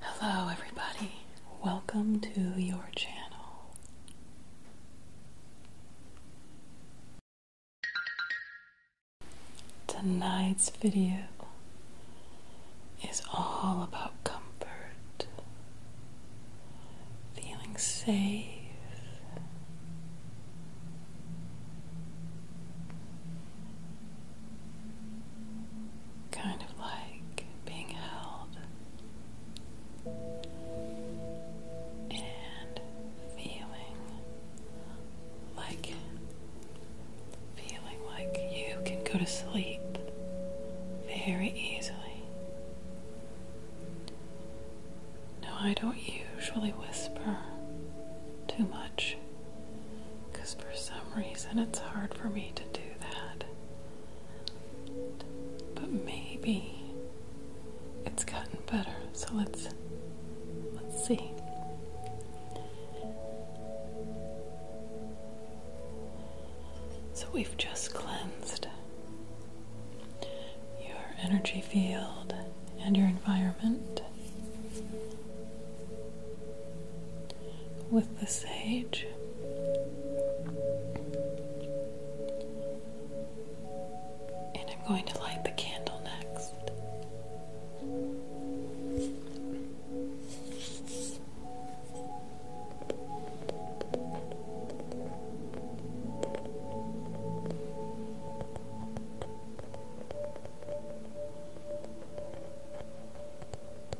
Hello, everybody. Welcome to your channel. Tonight's video is all about comfort, feeling safe kind of like being held and feeling like feeling like you can go to sleep very easily. Now, I don't usually whisper too much because for some reason it's hard for me to do that. But maybe it's gotten better. So let's let's see. So we've just cleansed your energy field and your environment with the sage. And I'm going to light the candle next.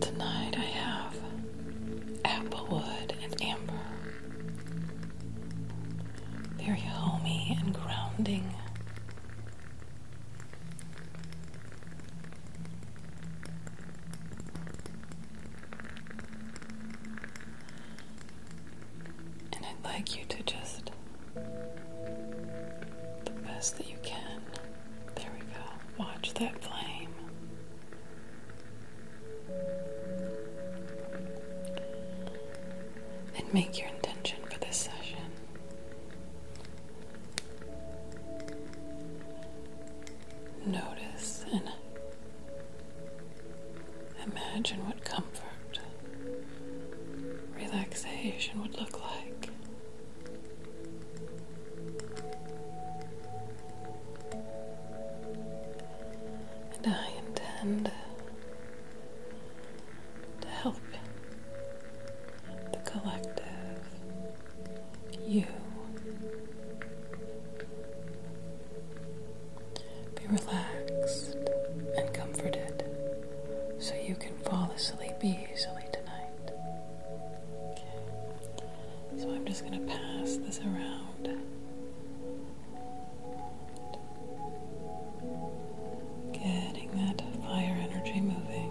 Tonight I have applewood and amber. Very homey and grounding. And I'd like you to just, the best that you can, there we go, watch that flame. And make your intention for this session notice and imagine what comfort, relaxation would look like. And I intend to help the collective, you, be relaxed and comforted so you can fall asleep easily tonight. So I'm just going to pass this around. Getting that fire energy moving.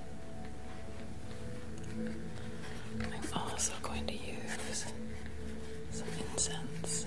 I'm also going to use some incense.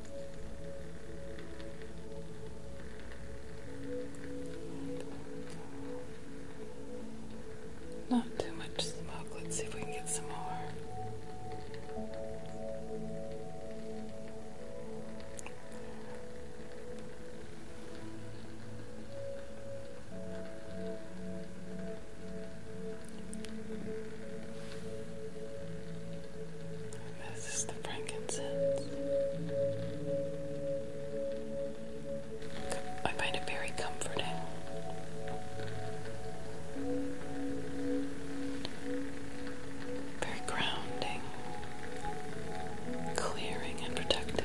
Not too much smoke. Let's see if we can get some more. This is the frankincense. I find it very comforting. Very grounding, clearing, and protective.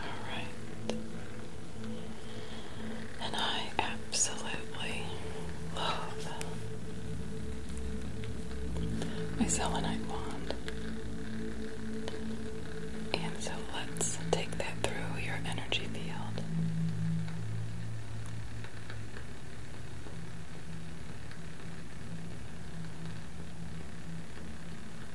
Alright. And I absolutely love my selenite wand. And so let's take that through your energy field.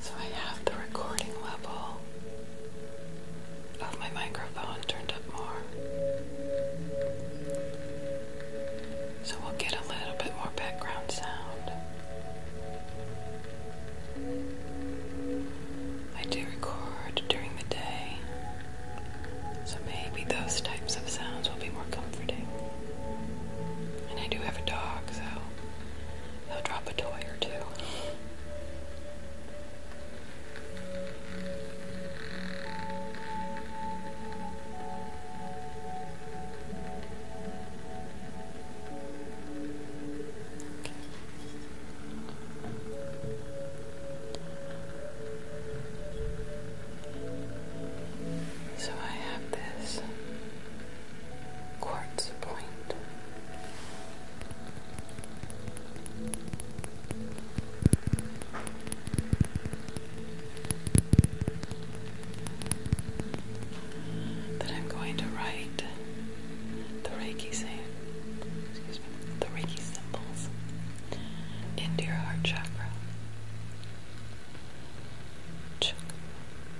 So I have the recording level of my microphone turned up more. So we'll get a little bit more background sound. I do record during the day, so maybe those types of sounds will be more comforting. And I do have a dog, so I'll drop a toy or two. So I have this Quartz Point. That I'm going to write the Reiki same, excuse me, the Reiki symbols into your heart chakra.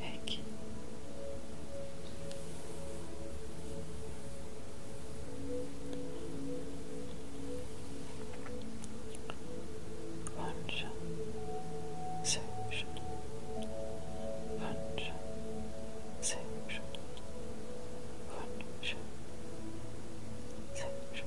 Peki. Önce sevmişim. Önce sevmişim. Önce sevmişim.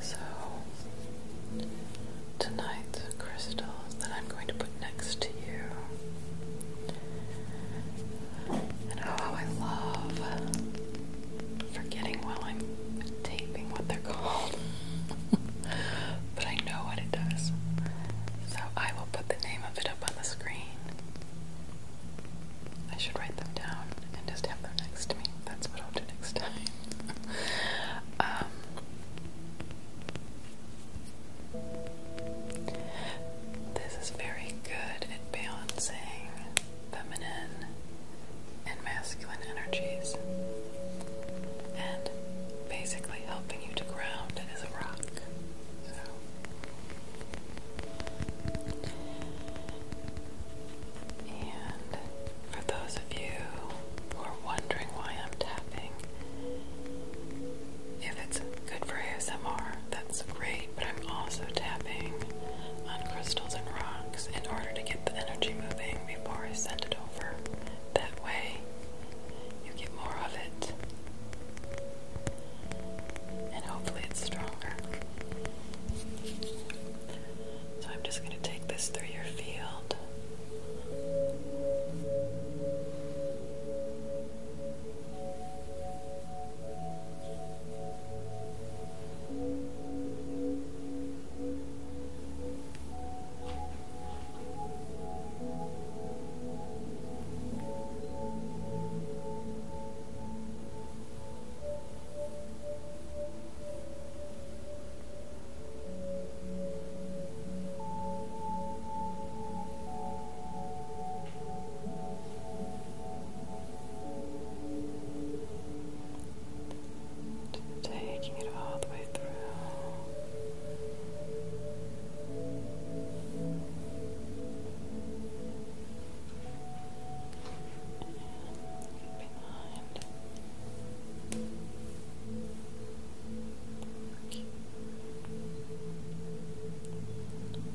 So, tonight the crystals that I'm going to put next to you, and oh, I love forgetting while I'm taping what they're called, but I know what it does. So, I will put the name of it up on the screen I should write them down and just have them next to me. That's what I'll do next time. Um, this is very good at balancing feminine and masculine energies and basically helping you to ground as a rock. And for those of you who are wondering why I'm tapping, if it's good for ASMR, that's great, but I'm also tapping on crystals and rocks in order to get the energy moving before I send it over. That way, you get more of it and hopefully it's stronger. So I'm just going to take this through your field. Just taking it all the way through behind.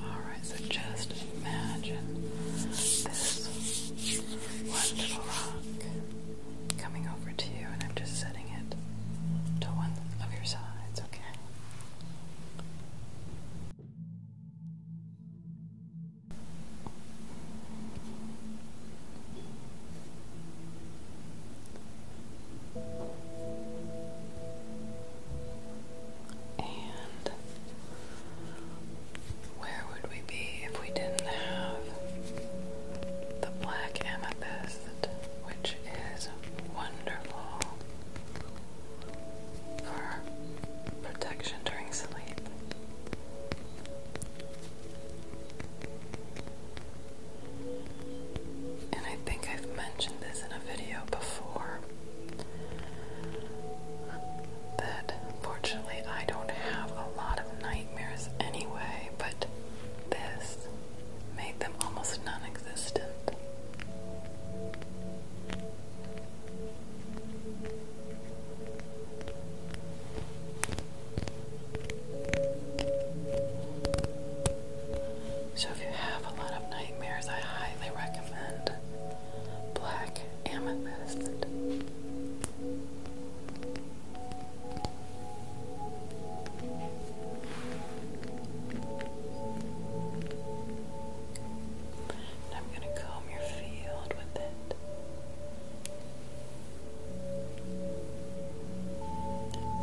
Alright, so just imagine this one rock coming over to you, and I'm just setting it to one of your sides, okay? And where would we be if we didn't have the black amethyst, which is wonderful? for protection during sleep. And I think I've mentioned this in a video before that fortunately I don't have a lot of nightmares anyway, but this made them almost non existent. So, if you have a lot of nightmares, I highly recommend Black Amethyst and I'm going to comb your field with it.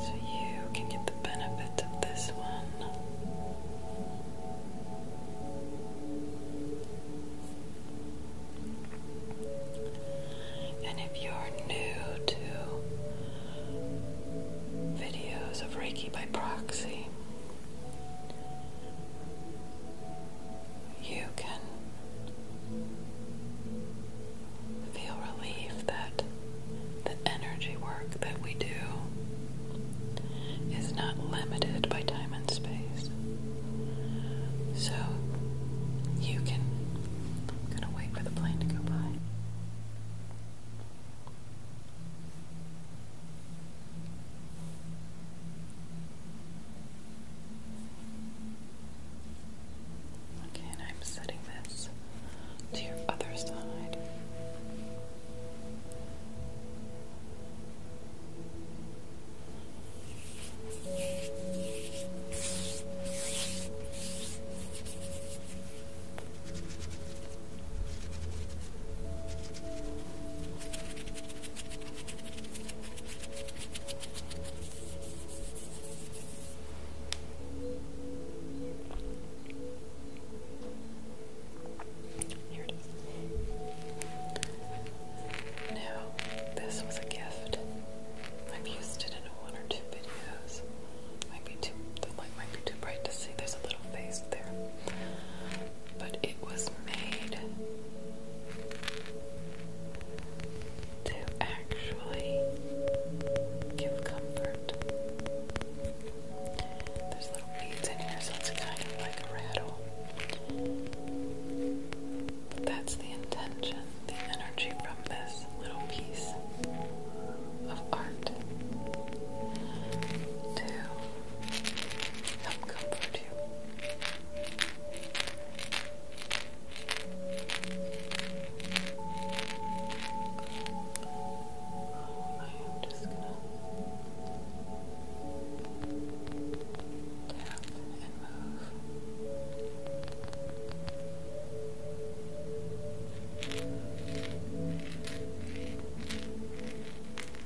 So you can get the benefits of this one. And if you're new to videos of Reiki by proxy, you can feel relief that the energy work that we do is not limited by time and space. So you can I'm gonna wait for the plane to go by. Okay, and I'm setting this to your other side. Here it is. Now, this was a gift. I've used it in one or two videos. Might be too the might be too bright to see. There's a little face there but it was made to actually give comfort. There's little beads in here, so it's kind of like a rattle. But that's the intention, the energy from this little piece of art to help comfort you. I am just gonna tap and move.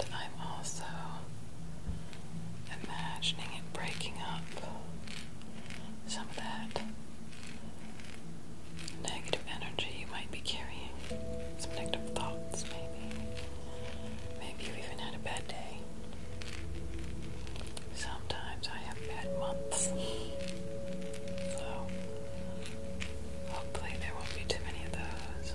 And I'm also imagining it breaking up some of that negative energy you might be carrying, some negative thoughts, maybe. Maybe you even had a bad day. Sometimes I have bad months. So, hopefully, there won't be too many of those.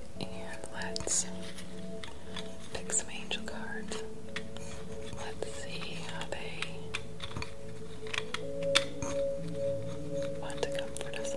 let's pick some angel cards. Let's see how they want to comfort us.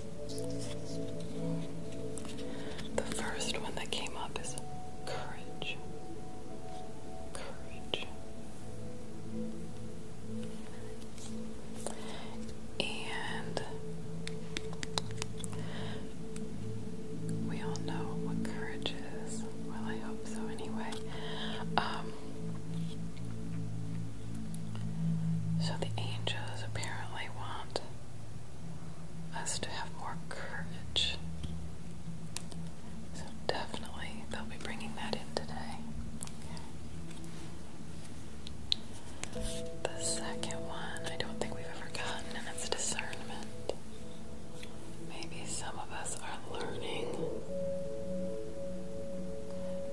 The first one that came up is courage. Courage. And we all know what courage is. Well, I hope so anyway. Um, so the angels apparently want us to have more courage. So definitely they'll be bringing that in today. The second one, I don't think we've ever gotten, and it's discernment. Maybe some of us are learning.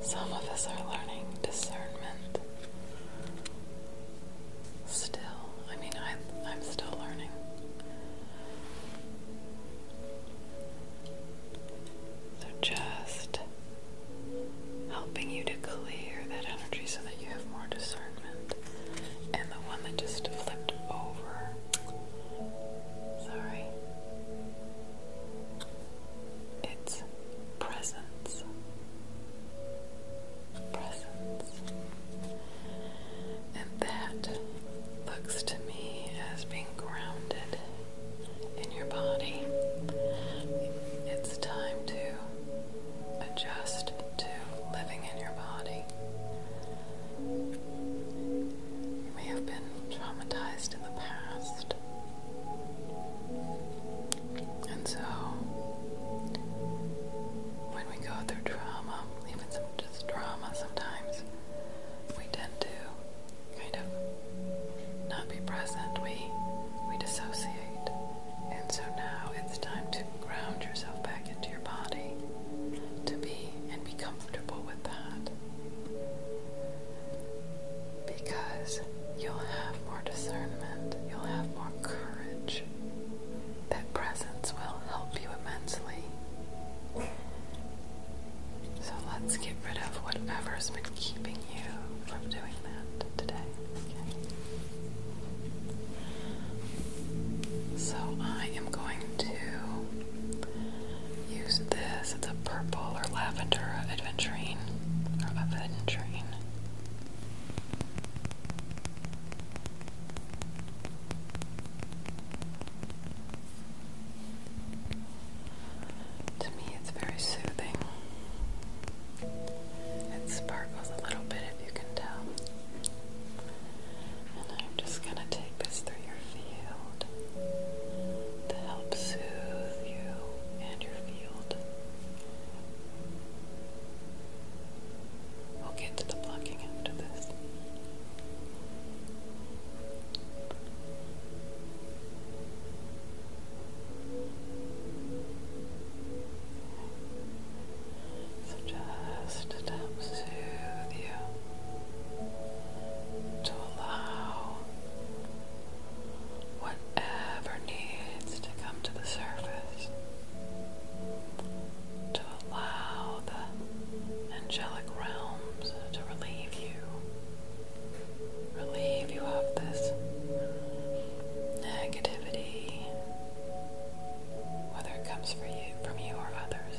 Some of us are learning discernment still. I mean, I, I'm still learning. So just helping you to clear that energy so that you have more discernment. And the one that just flipped over. Sorry. It's presence presence. And that looks to me as being grounded in your body. It's time to adjust to living in your body. You may have been traumatized in the past. And so, when we go through trauma, even just trauma sometimes, we tend to kind of not be present. We we dissociate. And so now it's time to ground yourself back into your body to be and be comfortable with that. Because you'll have more discernment, you'll have more courage that presence will help you immensely. So let's get rid of whatever's been keeping you from doing that today. So I am going to use this. It's a purple or lavender adventurine or aventurine. To me, it's very soothing. It sparkles a little bit, if you can tell. And I'm just going to take this through your field to help soothe you and your field. We'll get to the blocking after this. So just to soothe you, to allow whatever needs to come to the surface to allow the angelic realms to relieve you, relieve you of this negativity, whether it comes for you, from you or others.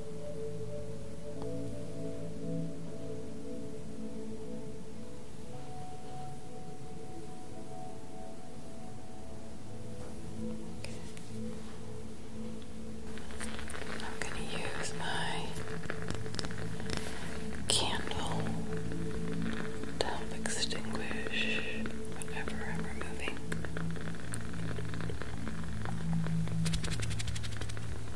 I'm going to use my candle to extinguish whatever I'm removing.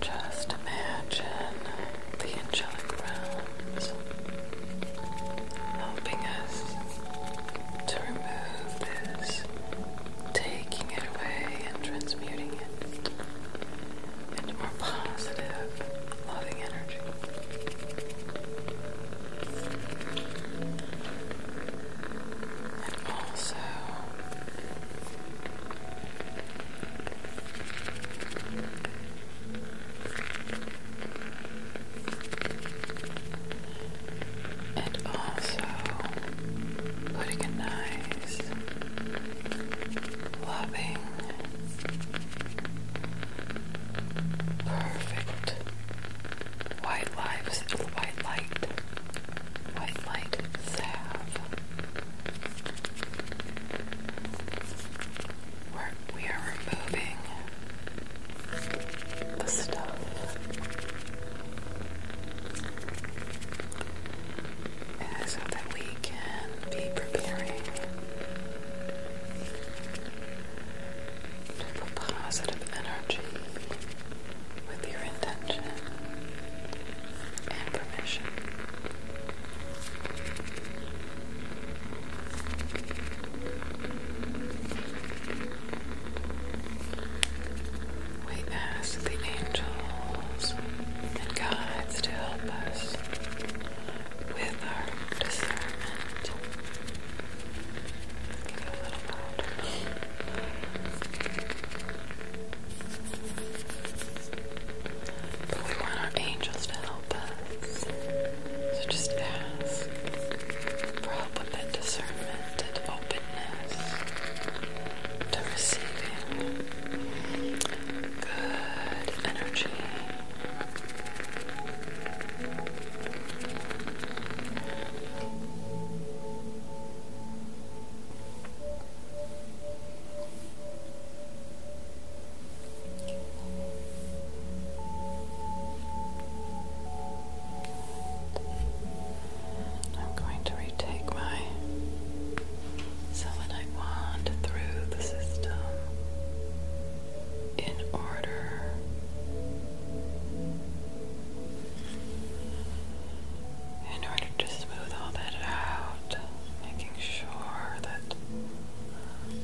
Just imagine the angelic realms helping us to remove this, taking it away and transmuting it into more positive, loving energy. And also, and also putting a loving, Perfect. White lives, white light, white light We're, removing the stuff. that we can be preparing for positive energy with your intention and permission. We ask the angels and guides to help us with our discernment. Get a we want our angels to help us. So just ask for help with that discernment, that openness to receiving good energy. I'm going to retake my selenite wand through the system in order in order to smooth all that out, making sure that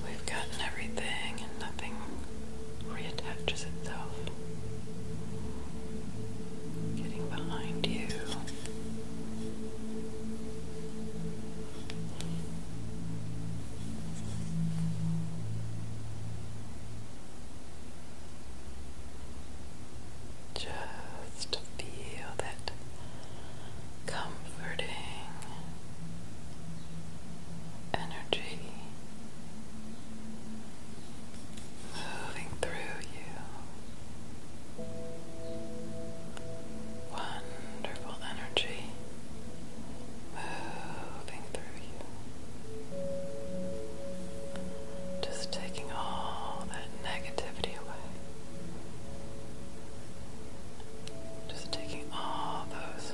we've gotten everything and nothing reattaches itself. Getting behind you. Just feel that comforting energy moving through you. Wonderful energy moving through you. Just taking all that negativity away. Just taking all those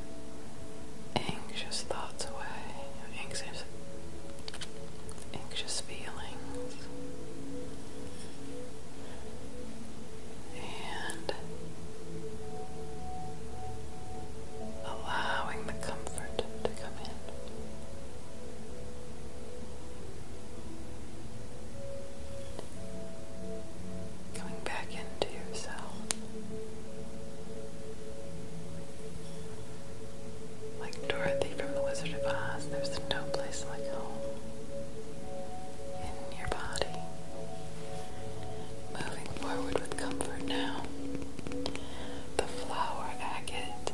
anxious thoughts away, anxious, anxious feelings. And allowing the comfort to come in. Coming back into yourself like Dorothy from The Wizard of Oz, there's no place like home in your body. Moving forward with comfort now. The flower agate.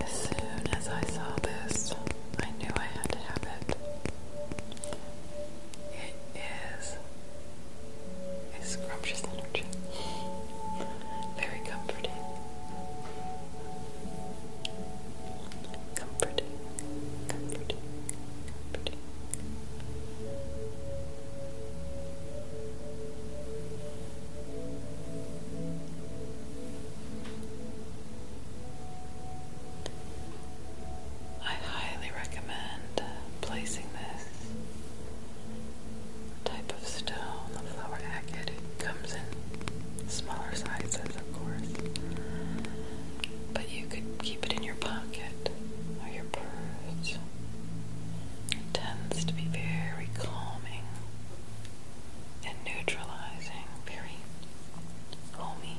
As soon as I saw this, I knew I had to have it. It is a scrumptious energy, very comforting. Comforting. I highly recommend placing this type of stone, the flower agate. comes in smaller sizes of course. But you could keep it in your pocket or your purse. tends to be very calming and neutralizing, very homey.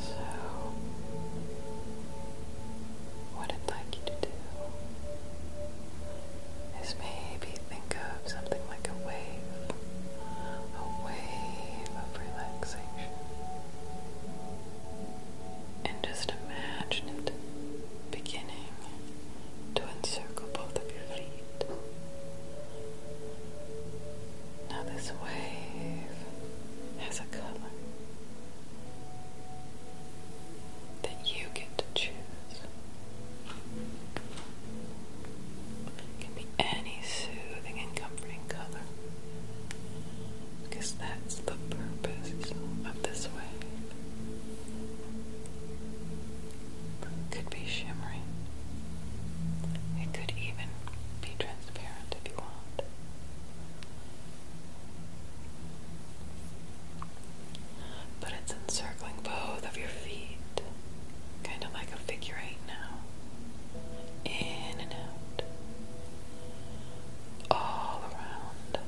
So, what I'd like you to do is maybe think of something like a wave, a wave of relaxation. And just imagine it beginning to encircle both of your feet. Now, this wave has a color that you get to choose. It can be any soothing and comforting color because that's the purpose of this wave. could be shimmering. It could even be transparent if you want. But it's encircling both of your feet, kind of like a figure eight now. In and out all around.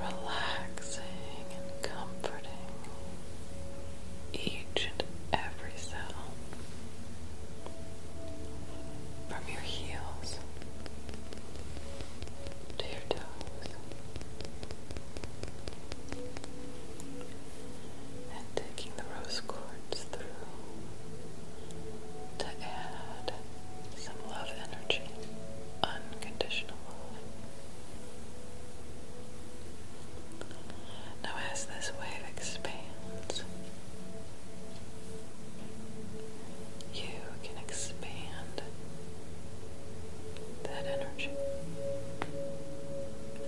Relaxing and comforting each and every cell from your heels to your toes and taking the rose quartz through to add some love energy, unconditional Now, as this wave expands, you can expand that energy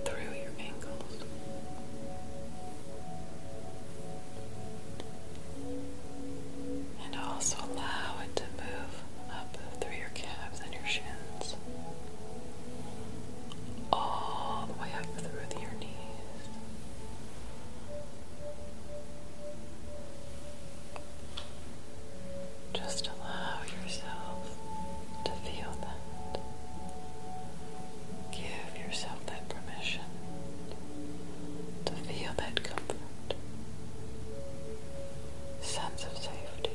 through your ankles. And also allow it to move up through your calves and your shins. All the way up through your knees. Just allow yourself to feel that. Give yourself that permission to feel that comfort, sense of safety.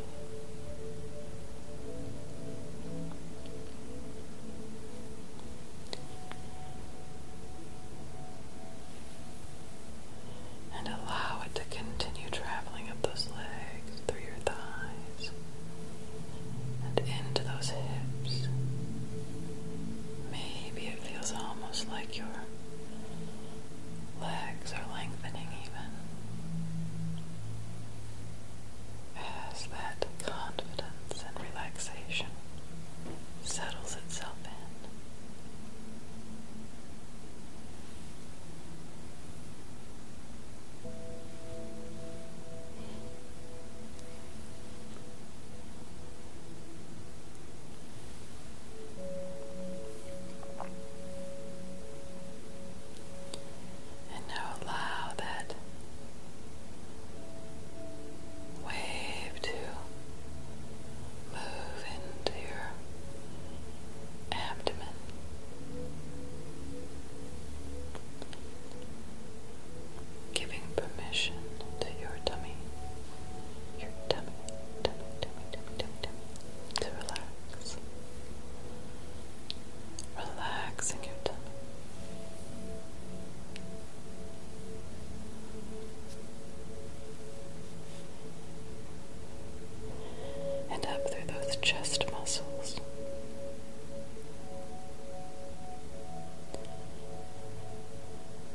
And allow it to continue traveling up those legs through your thighs, and into those hips. Maybe it feels almost like your legs are lengthening, even as that confidence and relaxation settles itself in. And now allow that wave to move into your abdomen giving permission to your tummy, your tummy, tummy, tummy, tummy, tummy, to relax. Relaxing your tummy. And up through those chest muscles,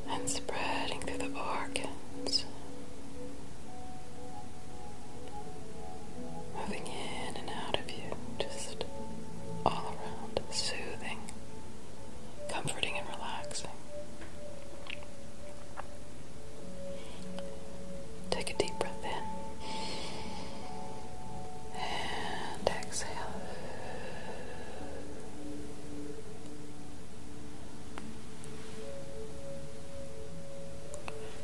and spreading through the organs, moving in and out of you, just all around, soothing, comforting, and relaxing. Take a deep breath in and exhale.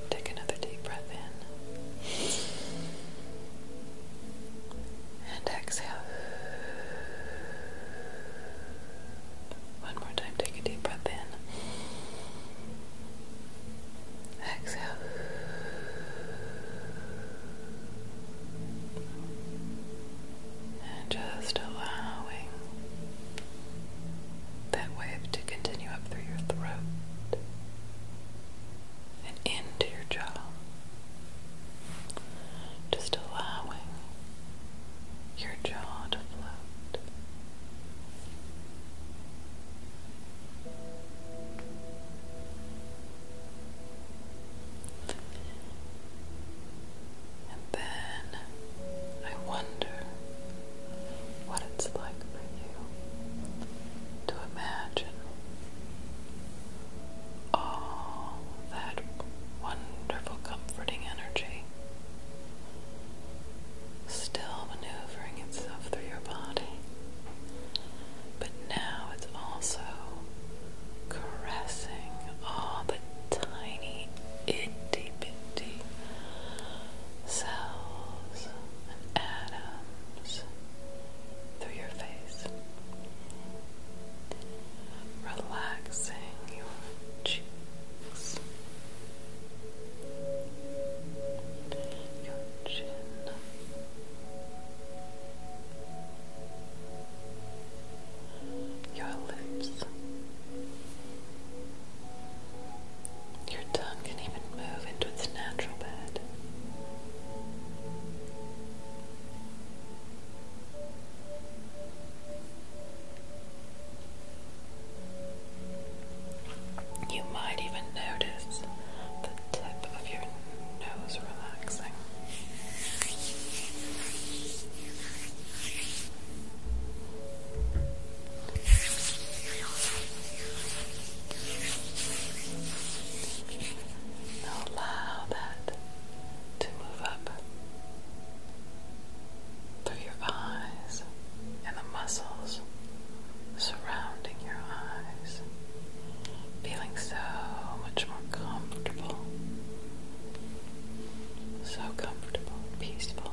Take another deep breath in and exhale. One more time, take a deep breath in. Exhale. And just allowing that wave to continue up through your throat and into your jaw. Just allowing your jaw to float. And then I wonder what it's like for you to imagine all that wonderful, comforting energy still maneuvering itself through your body but now it's also caressing all the tiny, itty bitty cells and atoms through your face, relaxing your cheeks, your chin your lips, your tongue can even move into its natural bed. You might even notice the tip of your nose relaxing. allow that to move up through your eyes and the muscles surrounding your eyes. Feeling so much more comfortable. So comfortable, peaceful.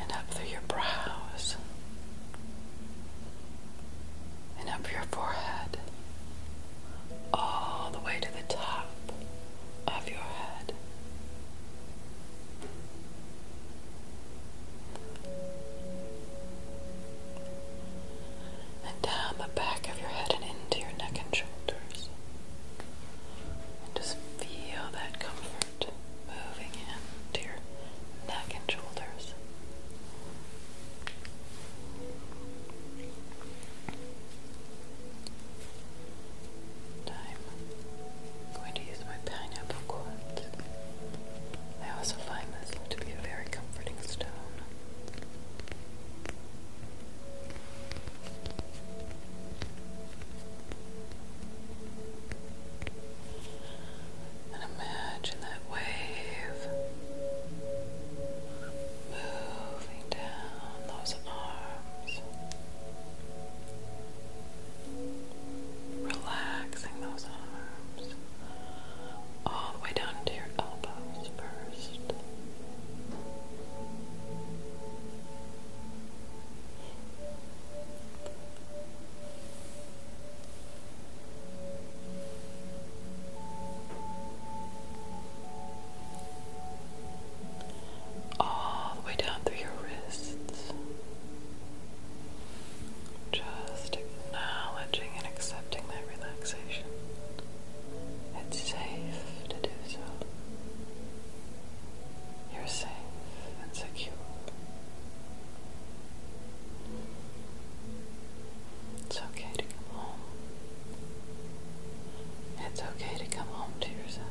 And up through your brows, and up your forehead, all the way to the top of your head. And down the back of your head and into your neck and shoulders. And just feel that comfort moving in to your neck and shoulders. i going to use my pineapple quartz. I also find this to be a very comforting stone. And imagine that wave moving down those arms, relaxing those arms all the way down to your elbows first all the way down through your wrists. Just acknowledging and accepting that relaxation. It's safe to do so. You're safe and secure. It's okay to come home. It's okay to come home to yourself.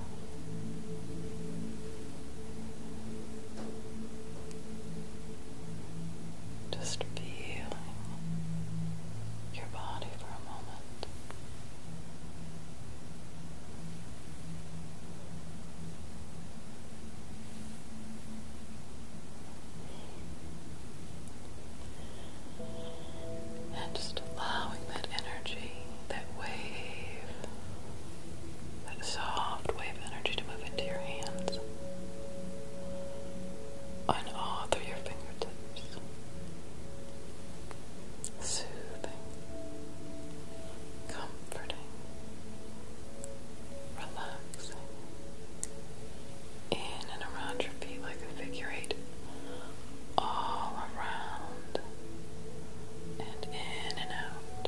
Just feeling your body for a moment. And just allowing that energy, that wave, that soft wave energy to move into your hands and all through your fingertips. Soothing, comforting relaxing in and around your feet like a figure eight, all around and in and out,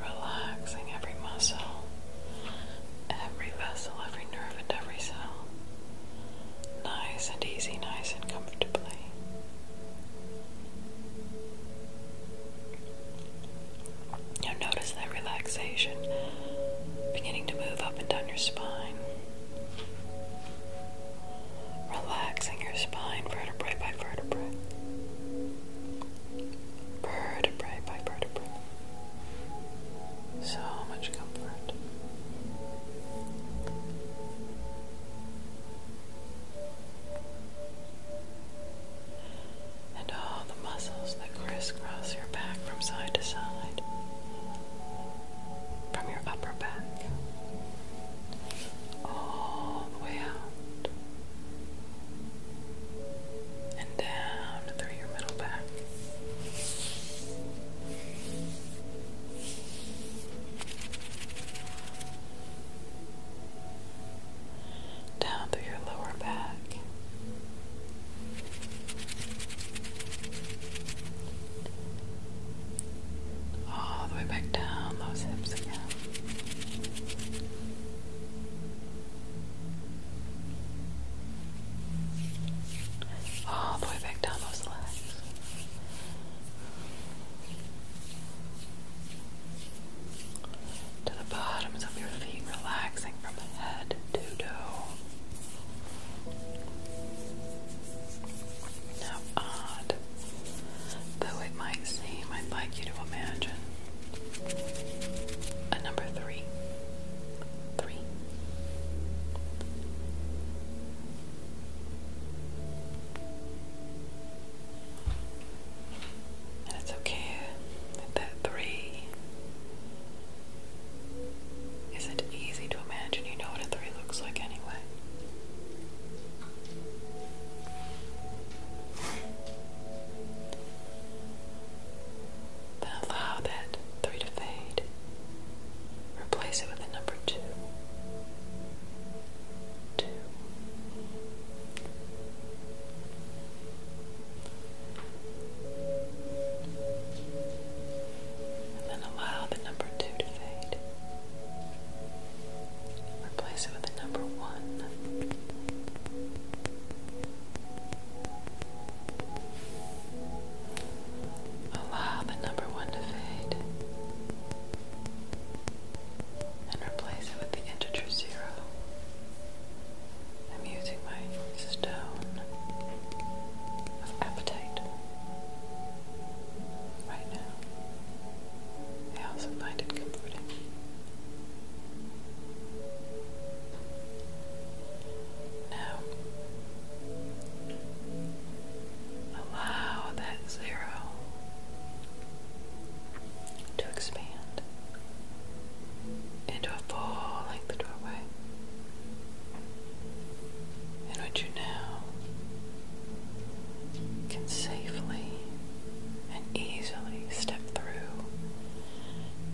relaxing every muscle, every vessel, every nerve, and every cell, nice and easy, nice and comfortably. Now notice that relaxation beginning to move up and down your spine. Relaxing your spine vertebrae by vertebrae. Vertebrae by vertebrae. So much comfort and all the muscles that crisscross your back from side to side, from your upper back all the way out and down through your middle back down through your lower back. All the way back down those hips again. All the way back down those legs to the bottoms of your feet, relaxing from the head to toe. Now, odd though it might seem, I'd like you to imagine a number three. Three. And it's okay that three isn't easy to imagine. You know what a three looks like anyway. Then allow that three to fade. Replace it with a number two. Two then allow the number two to fade. Replace it with the number one. Allow the number one to fade and replace it with the integer zero. I'm using my stone of appetite right now. I also find it comforting. Now, allow that zero to expand into a full length doorway and which you now can safely and easily step through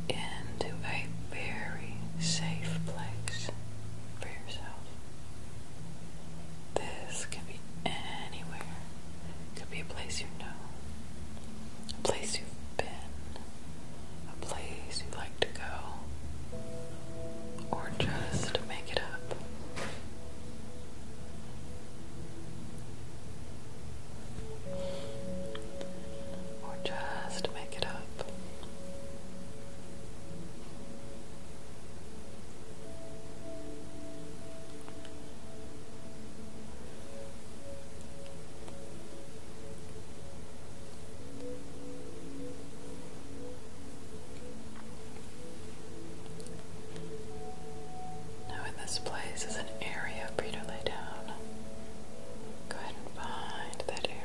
into a very safe place for yourself. This can be anywhere. It could be a place you know, a place you've been, a place you like to go, or just make it up. Or just make it up. Now, in this place is an area for you to lay down. Go ahead and find that area.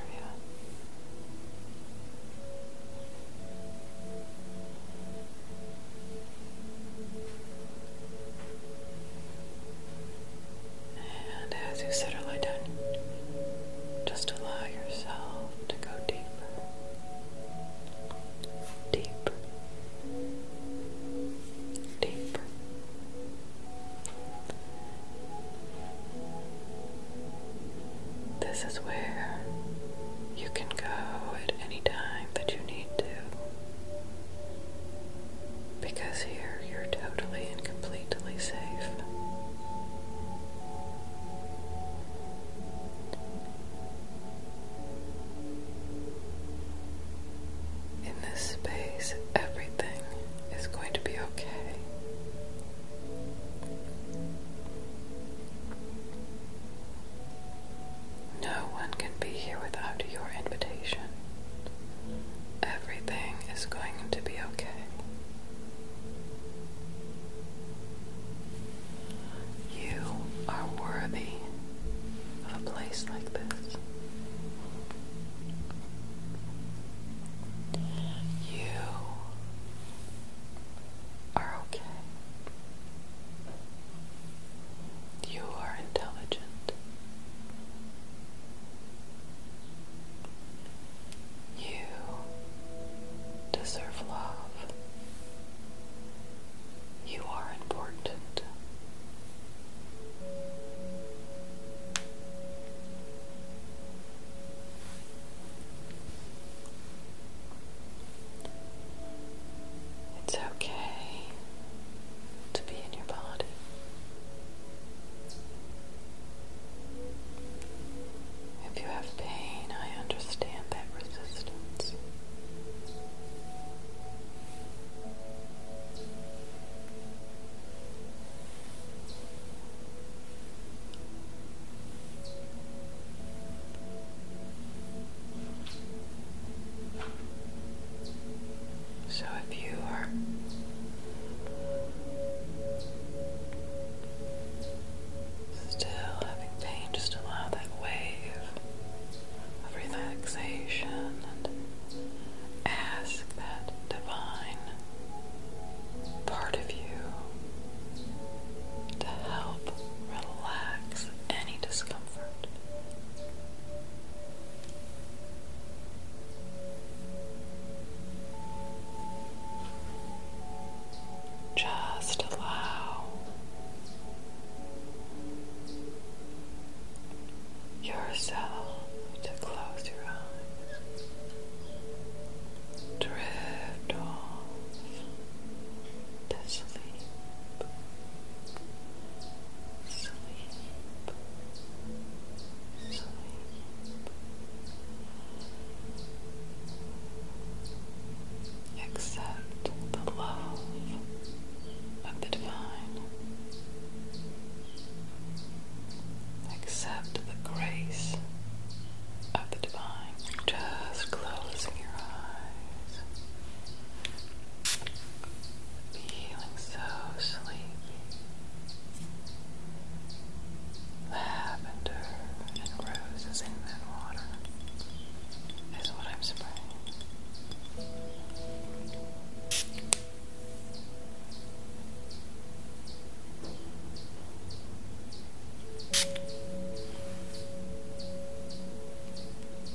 And as you settle down, just allow yourself to go deeper, deeper, deeper. This is where you can go at any time that you need to. Because here you're totally and completely safe. In this space, everything is going to be okay. No one can be here without your invitation. Everything is going to be okay. You are worthy of a place like this. You are okay. You are intelligent. You deserve love. You are important. It's okay to be in your body. If you have pain, I understand that resistance. So if you are still having pain, just allow that wave of relaxation and ask that divine part of you to help relax any discomfort. Just allow yourself to close your eyes, drift off to sleep, sleep. the love of the divine. Accept the grace of the divine. Just closing your eyes. Feeling so sleepy. Lavender and roses in that water is what I'm spraying.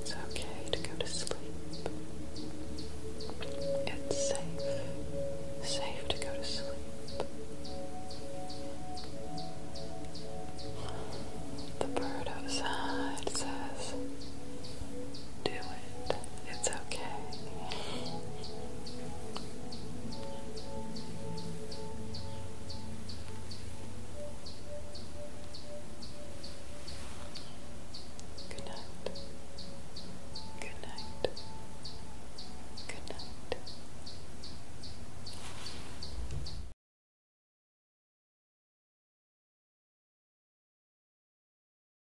It's okay to go to sleep. It's safe. Safe to go to sleep. The bird outside says, do it. It's okay. Good night. Good night. Good night.